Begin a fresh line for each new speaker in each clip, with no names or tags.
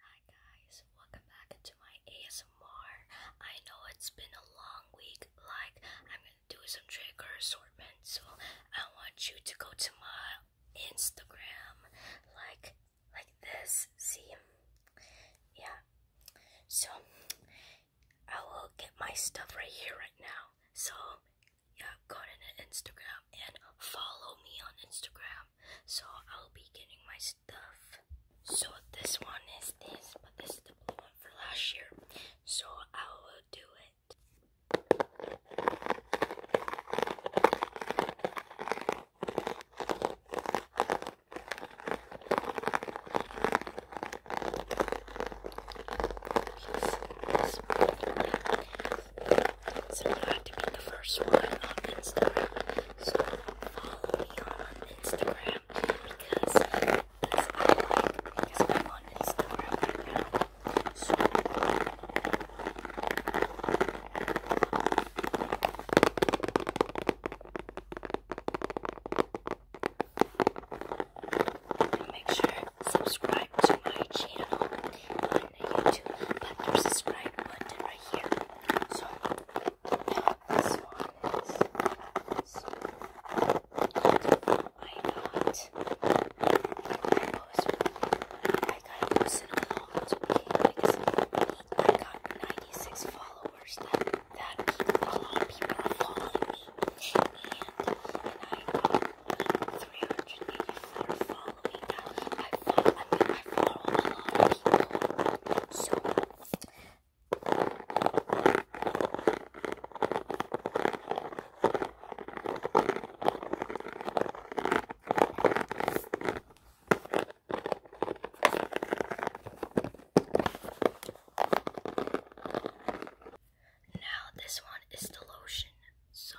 Hi guys, welcome back to my ASMR. I know it's been a long week, like I'm gonna do some trigger assortment, so I want you to go to my Instagram like like this, see? Yeah. So I will get my stuff right here right now. So yeah, go to Instagram and follow me on Instagram. So I'll be getting my stuff. So this one is this, but this is the blue one for last year. So I will do it.
So you have to be the first one on Instagram. So follow me on Instagram because I am on Instagram So make sure subscribe to my channel the YouTube subscribe button right here. So this one I got 96 followers that people, a are following me and uh, I got uh, 384 following now. I follow, I follow a people. So,
now this one is the lotion. So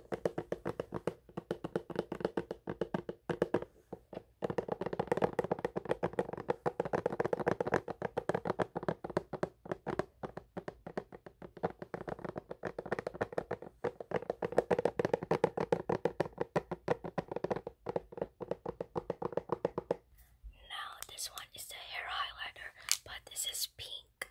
Now this one is the hair highlighter, but this is pink.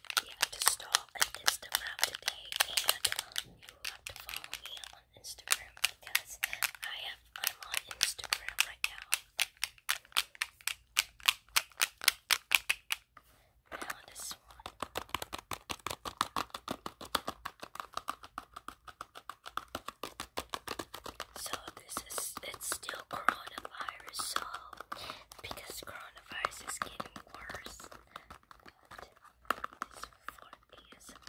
you have to start an Instagram today and um, you will have to follow me on Instagram because I have I'm on Instagram right now. Now this one. So this is it's still coronavirus so because coronavirus is getting worse this is for ASMRs.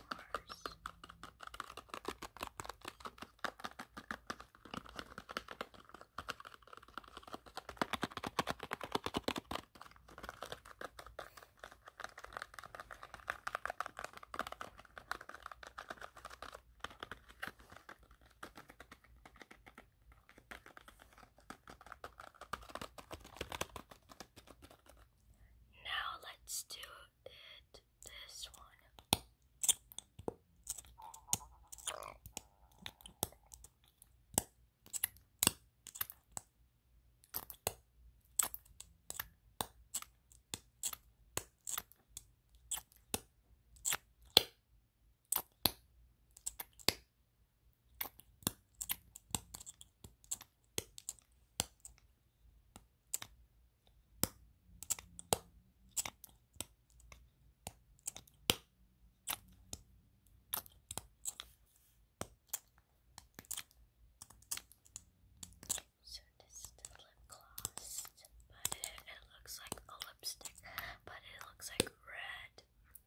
Now let's do it this one. So this is the lip gloss, but it, looks like a lipstick, but it looks like red.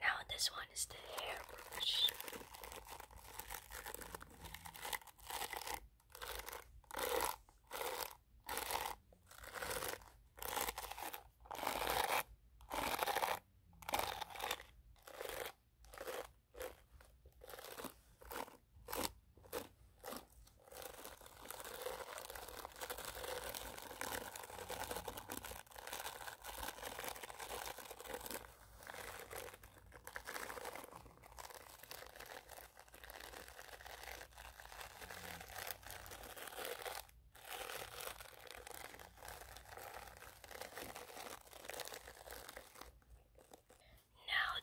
Now this one is the hairbrush. Now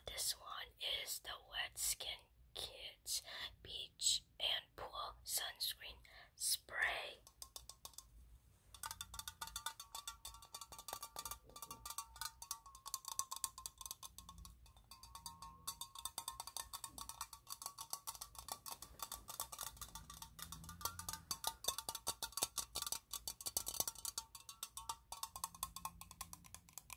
this one is the wet skin kids, beach and pool sunscreen spray.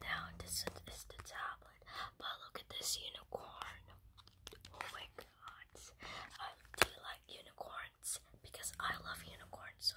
Now this is the tablet, but look at this unicorn. Oh I um, do like unicorns? Because I love unicorns, so.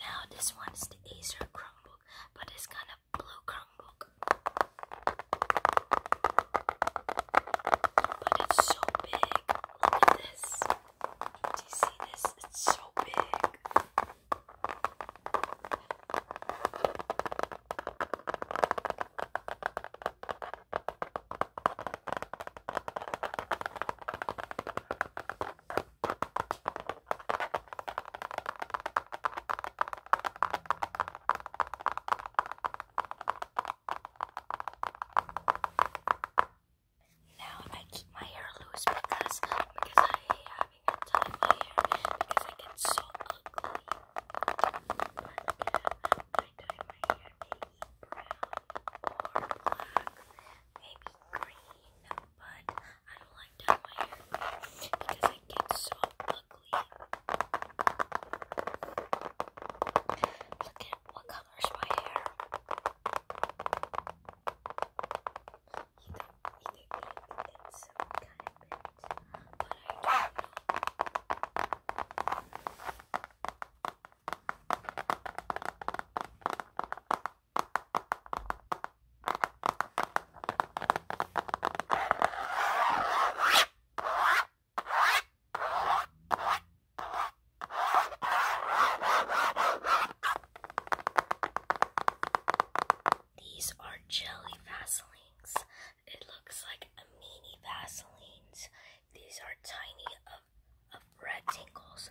Now this one is the Acer Chromebook, but it's kind of blue Chromebook.
But it's so big. Look at this. Do you see this? It's so big. Now
I keep my hair loose because because I hate having a tie my hair
because I get so ugly. Uh, I dye my hair maybe brown or maybe green, but I don't like dyeing my hair because it gets so ugly.
Look at what color is my hair. You think, you think, it's some kind of bit, but I don't know. These are jelly Vaselines. It looks like a mini Vaselines. These are tiny of rectangles.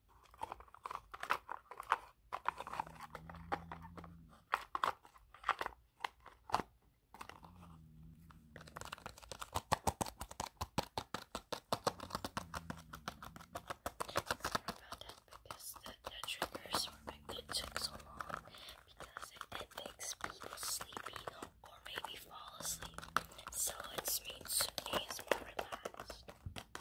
because the, triggers were it took so long because it, makes people sleepy or maybe fall asleep. So it's made Sunday more relaxed.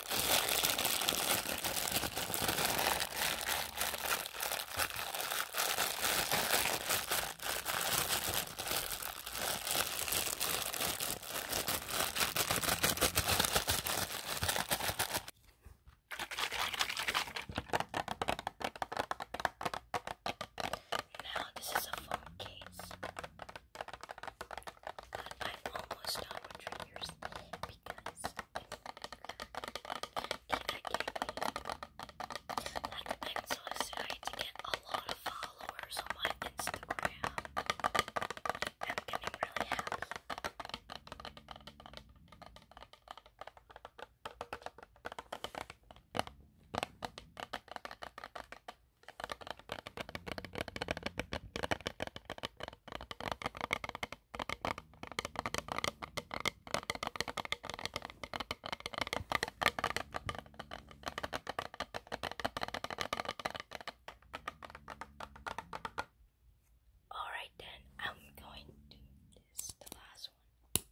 Now
this is a full case. But I'm almost done with triggers because I think
it to get a lot of followers on my Instagram. I'm getting really happy. Alright, then I'm going to do this, the last one,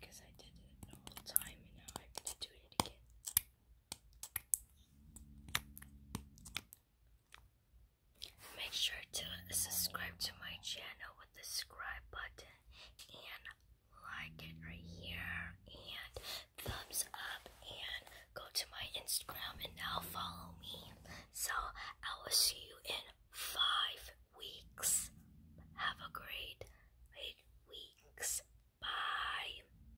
because I did it all the time and now I have to it again. Make sure to subscribe to my channel with the subscribe button and like it right here and thumbs up and go to my Instagram and now follow me. So I will see you in five weeks. Have a great weeks. Bye.